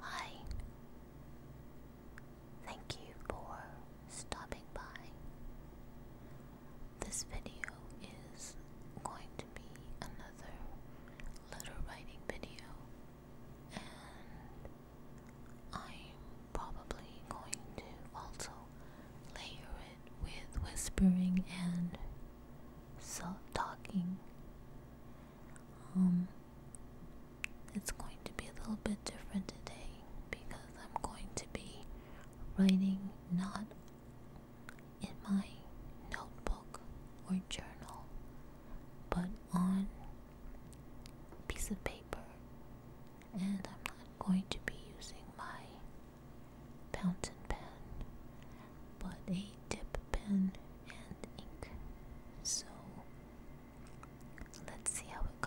Hi. Thank you for stopping by. This video is going to be another letter writing video, and I'm probably going to also layer it with whispering and self talking. Um, it's going to be a little bit different today because I'm going to be writing not in my notebook or journal, but on a piece of paper, and I'm not going to be using my fountain pen but a dip pen and ink. So let's see how it goes.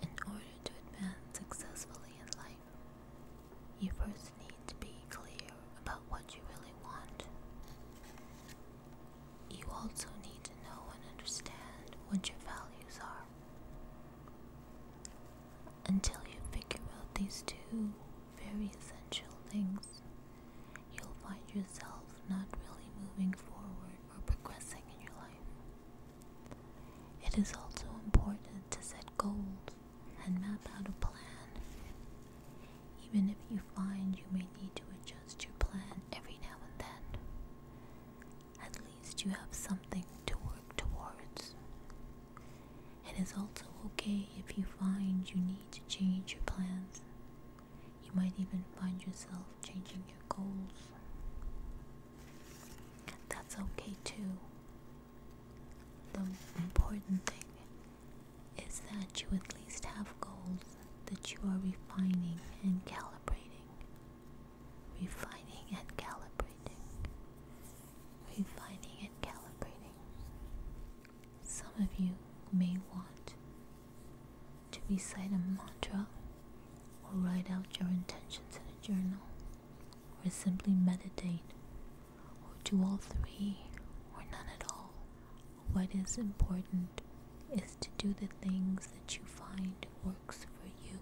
In order to advance successfully in life, you first need to be clear about what you really want. You also need to know and understand what your values are. Until you figure out these two, very essential things, you'll find yourself not really moving forward or progressing in your life. It is also important to set goals and map out a plan, even if you find you may need to adjust your plan every now and then. At least you have something to work towards. It is also okay if you find you need to change your plans. You might even find yourself changing your goals. That's okay too. The important thing is that you at least have goals that you are refining and calibrating. Refining and calibrating. Refining and calibrating. Some of you may want to recite a mantra or write out your intentions in a journal or simply meditate or do all three or none at all. What is important is to do the things that you find works for you.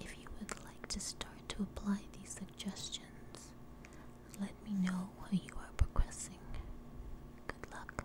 If you would like to start to apply these suggestions, let me know how you are progressing. Good luck.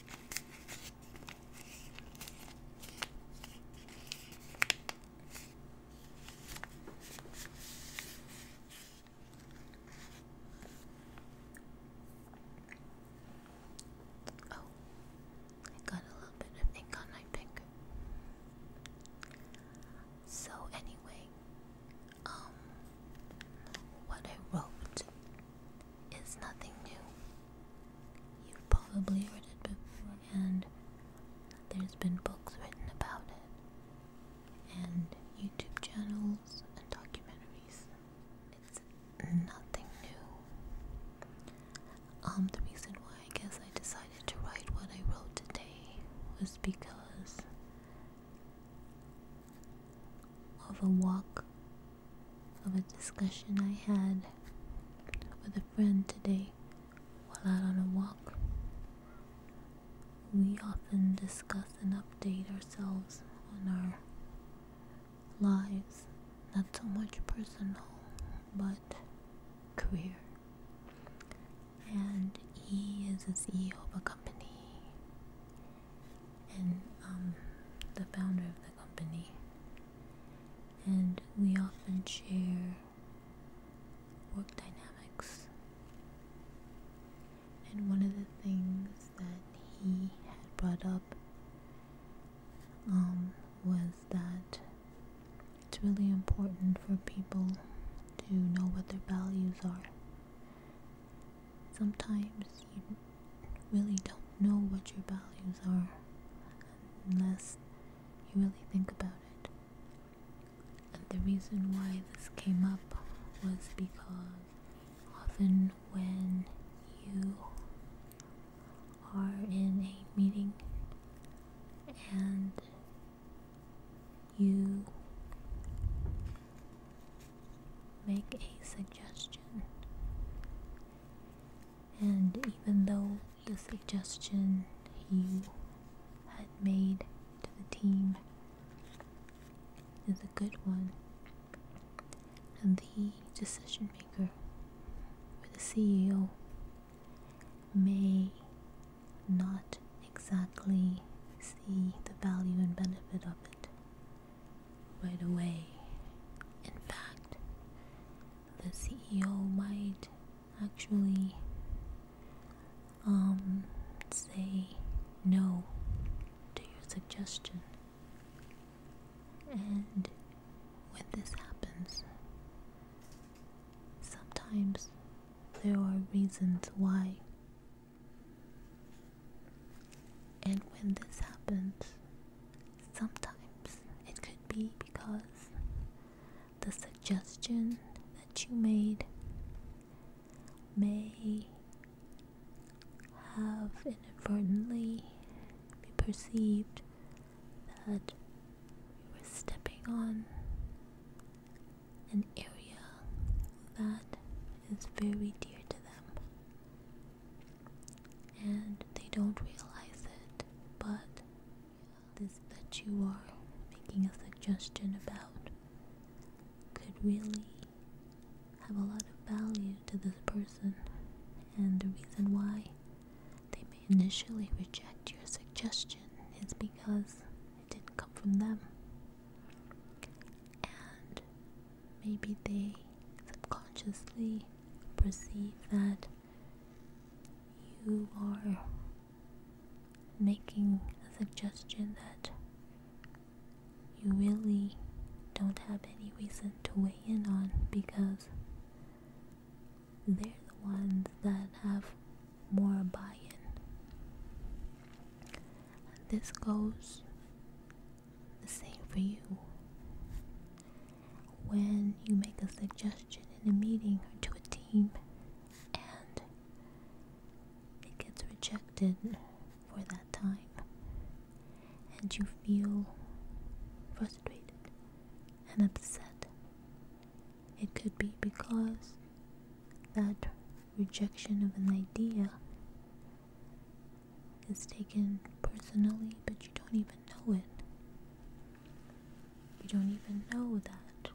Oh, I got a little bit of ink on my finger. So anyway, um, what I wrote it's nothing new. You've probably read it before, and there's been books written about it, and YouTube channels and documentaries. It's nothing new. Um, the reason why I guess I decided to write what I wrote today was because of a walk, of a discussion I had with a friend today while out on a walk. We often discuss and update ourselves on our lives, not so much personal, but career. And he is the CEO of a company and um, the founder of the company. And we often share work dynamics. And one of the things that he had brought up um, was that it's really important for people to know what their values are sometimes you really don't know what your values are unless you really think about it. And the reason why this came up was because often when you are in a meeting and you make a suggestion. And even though the suggestion you had made to the team is a good one, and the decision maker or the CEO may not exactly see the value and benefit of it right away. In fact, the CEO might actually um, say no to your suggestion. And when this happens, sometimes there are reasons why and when this happens, sometimes it could be because the suggestion that you made may have inadvertently be perceived that you were stepping on an area that is very dear to them and they don't realize it, but this that you are making a suggestion about could really have a lot of value to this person, and the reason why they may initially reject your suggestion is because it didn't come from them. And maybe they subconsciously perceive that you are making a suggestion that you really don't have any reason to weigh in on because they're the ones that have more buy in. this goes the same for you. When you make a suggestion in a meeting or to a team and it gets rejected for that time, and you feel frustrated and upset, it could be because that rejection of an idea is taken personally, but you don't even know it. You don't even know that.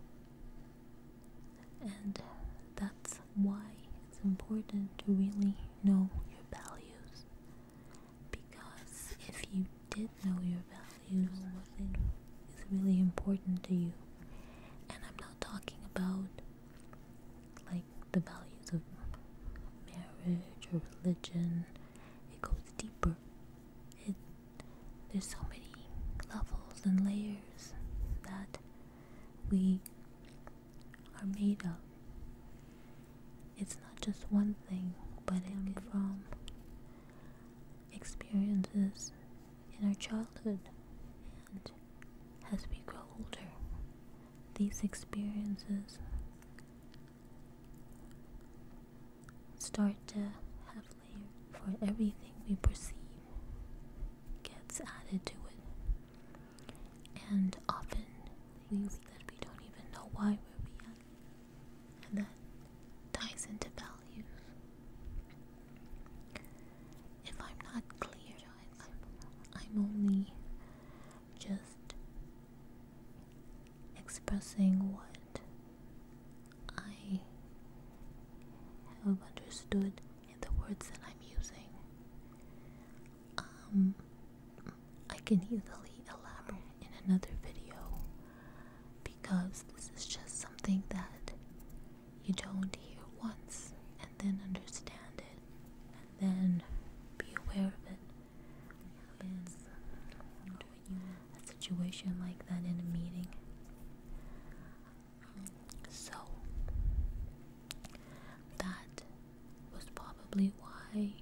And that's why it's important to really know your values. Because if you did know your values, what is really important to you. And I'm not talking about like the values of marriage or religion. It goes deeper. It there's so many levels and layers that we are made of. It's not just one thing, but it from experiences in our childhood as we grow older, these experiences start to have layer for everything we perceive gets added to it. And often things that we don't even know why we're being. And that ties into values. If I'm not clear I'm, only just expressing what I have understood in the words that I'm using. Um, I can easily elaborate in another video because this is just something that you don't hear once and then understand it and then be aware of it. And a situation like that in a meeting. So that was probably why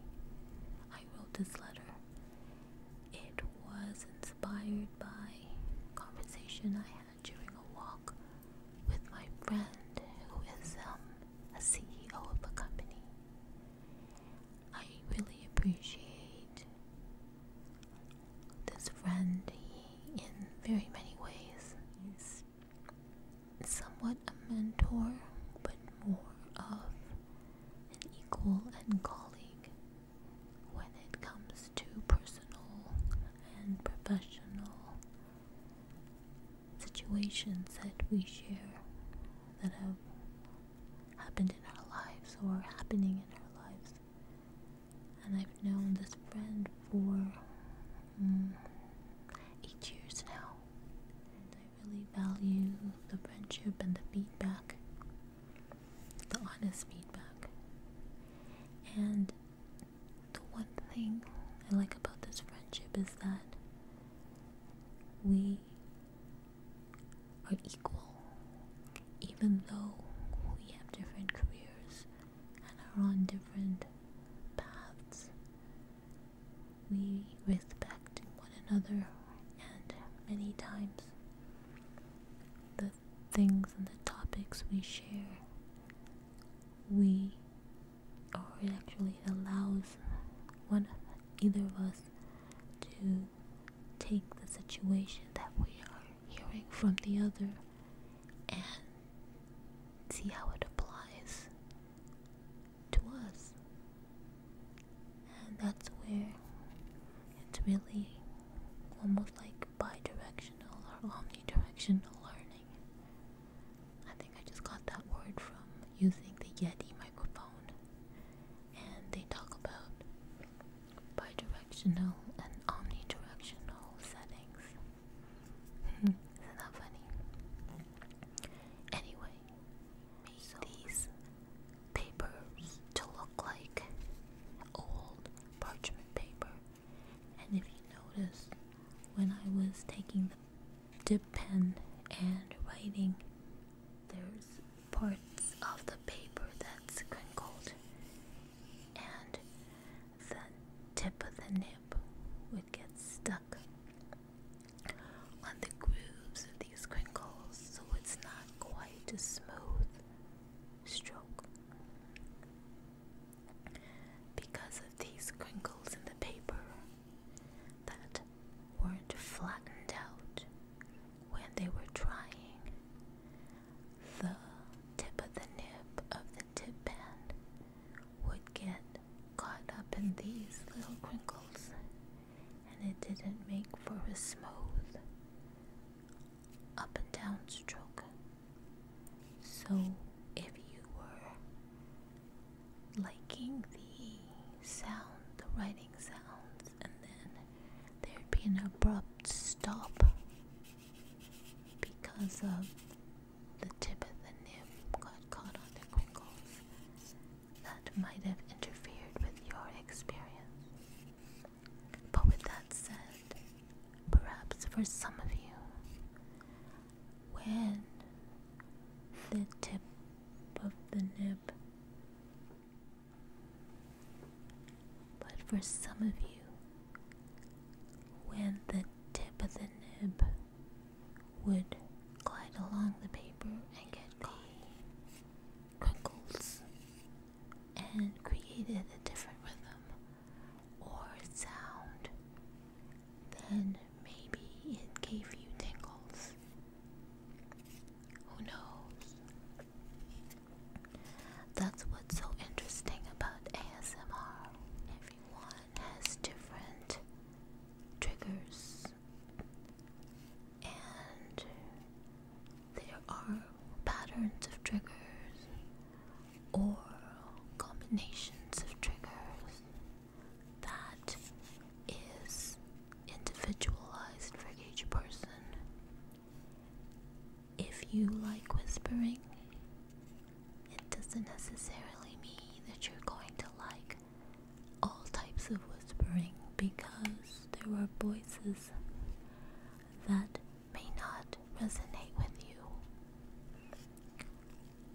I wrote this letter. It was inspired by conversation I had during a walk with my friend who is um, a CEO of a company. I really appreciate this friend he, in very many ways. He's somewhat a mentor, but more of an equal and colleague when it comes to personal and professional situations that we share that have happened in our lives or happening in our lives. And I've known this friend for mm, eight years now. And I really value the friendship and the feedback, the honest feedback. And the one thing I like about this friendship is that we are equal, even though we have different careers and are on different paths. We respect one another, and many times the things and the topics we share we or it actually allows one either of us to take the situation that we are hearing from the other and see how it applies to us and that's where it's really almost like bi-directional or omnidirectional learning I think I just got that word from using the Yeti microphone, and they talk about bidirectional and omnidirectional settings. Hmm, isn't that funny? Anyway, make these papers to look like old parchment paper and if you notice, when I was taking the dip pen and writing, there's parts of the paper that's crinkled, and the tip of the nib would get stuck on the grooves of these crinkles, so it's not quite a smooth stroke because of these crinkles in the paper that weren't flattened out when they were drying. The tip of the nib of the tip pen would get caught up in these little crinkles, and it didn't make for a smooth up and down stroke. So, if you were liking the sound, the writing sounds, and then there'd be an abrupt stop because of the tip of the nib got caught on the quill, that might have interfered with your experience. But with that said, Perhaps for some of you, when the tip of the nib. But for some of you, when the tip of the nib would glide along the paper and get the crinkles and created a different rhythm or sound, then maybe it gave you tingles. Who knows? That's what's so interesting about ASMR. Everyone has different triggers, and there are patterns of triggers or combinations of triggers that is individualized for each person. If you like whispering, it doesn't necessarily mean that you're going to like all types of whispering because there are voices that may not resonate with you.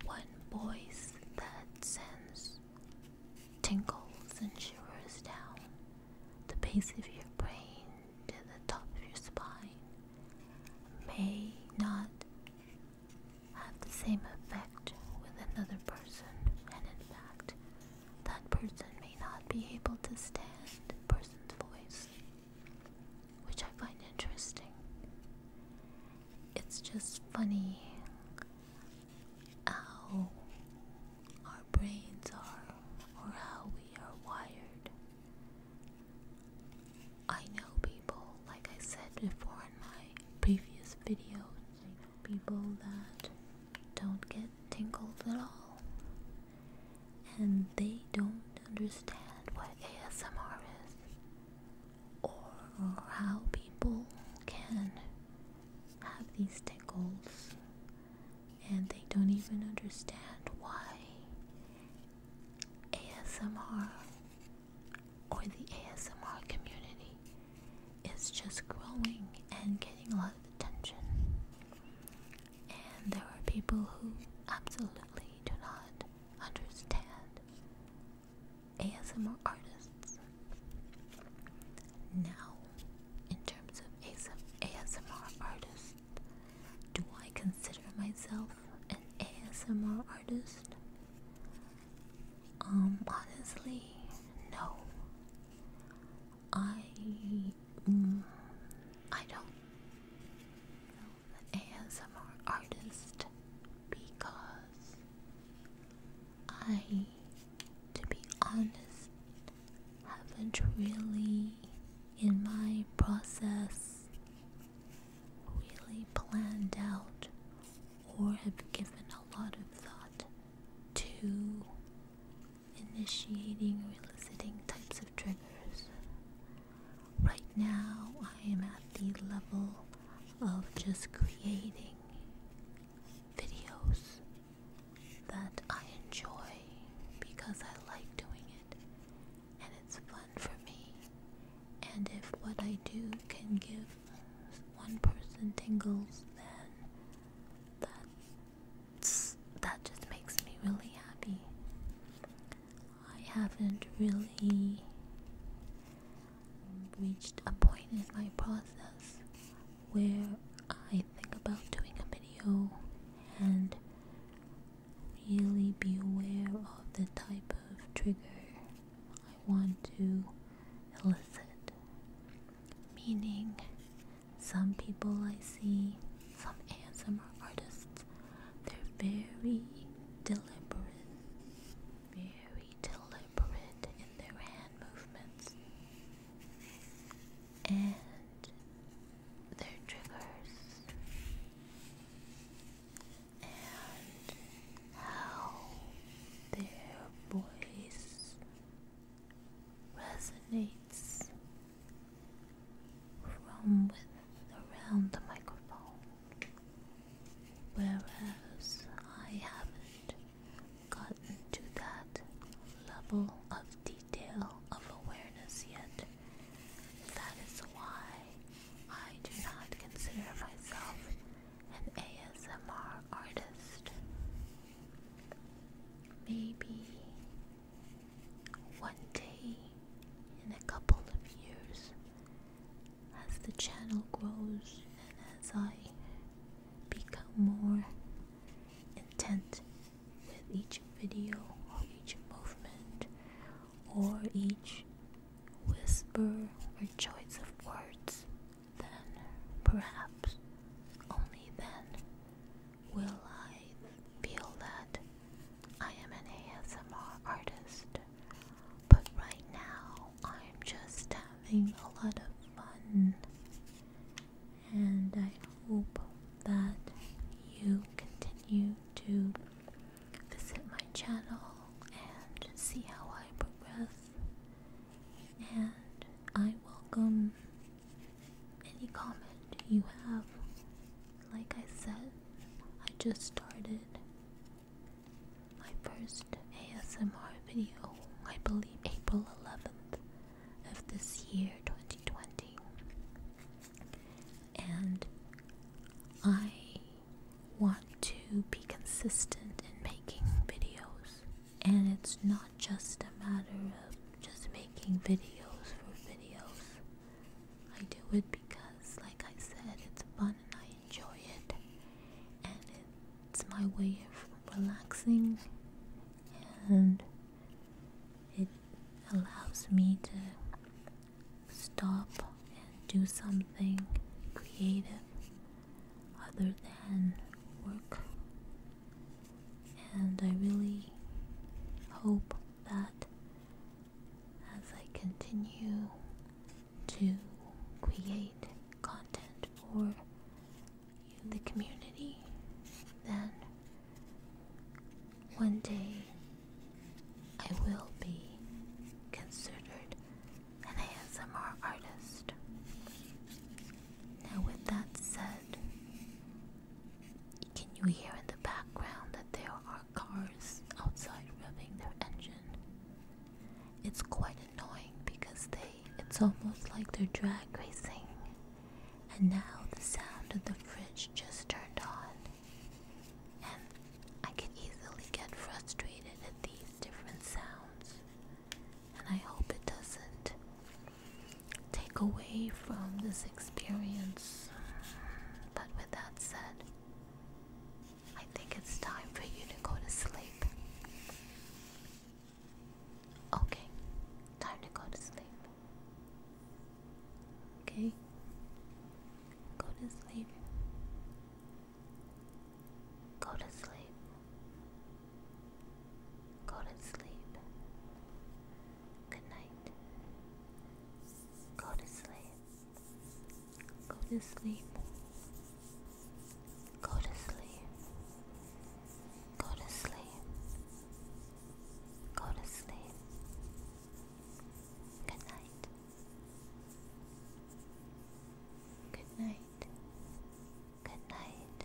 One voice that sends tingles and shivers down the base of your brain to the top of your spine may not have the same effect with another person, and in fact, that person may not be able to stand the person's voice which I find interesting. It's just funny how our brains are or how we are wired. I know people, like I said before in my previous videos, people that don't get tingles at all and they don't understand what ASMR is or how people can have these tickles and they don't even understand why ASMR or the ASMR community is just growing and getting a lot of attention. And there are people who absolutely do not understand ASMR artists. Now, in terms of ASMR artists, do I consider myself an ASMR artist? Um, honestly, no. I I don't know the artist because I, to be honest, haven't really in my process really planned out or have given a lot of thought to initiating or eliciting types of triggers. Right now, I am at the level of just creating videos that I enjoy because I like doing it and it's fun for me. And if what I do can give one person tingles, then that that just makes me really happy. I haven't really reached a point in my process where I think about doing a video and really be aware of the type of trigger I want to elicit. Meaning, some people I see, some ASMR artists, they're very deliberate, very deliberate in their hand movements. And their triggers. And how their voice resonates from around the microphone, whereas I haven't gotten to that level of detail of awareness yet. That is why I do not consider myself an ASMR artist. Maybe one day in a couple of years, as the channel grows and as I become more intent with each video or each movement or each whisper or choice of words, then perhaps only then will I feel that I am an ASMR artist? But right now, I'm just having a lot of fun. And I hope that you continue to visit my channel and see how I progress. And I welcome any comment you have. Like I said, I just started my first ASMR video, I believe April 11th of this year, 2020. And I want to be consistent in making videos, and it's not just a matter of just making videos for videos. I do it because, like I said, it's fun and I enjoy it, and it's my way of relaxing, and it allows me to stop and do something creative other than work. And I really hope that as I continue to create content for the community, then one day I will be considered an ASMR artist. Now, with that said, can you hear in the background that there are cars outside revving their engine? It's quite annoying because they it's almost like they're drag racing. And now the sound of the fridge just turned on. And I can easily get frustrated at these different sounds. And I hope it doesn't take away from this experience. But with that said, I think it's time for you to go to sleep. Okay, time to go to sleep. Okay, go to sleep. Go to sleep. Go to sleep. Good night. Go to sleep. Go to sleep. Go to sleep. Go to sleep. Go to sleep. Good night. Good night. Good night.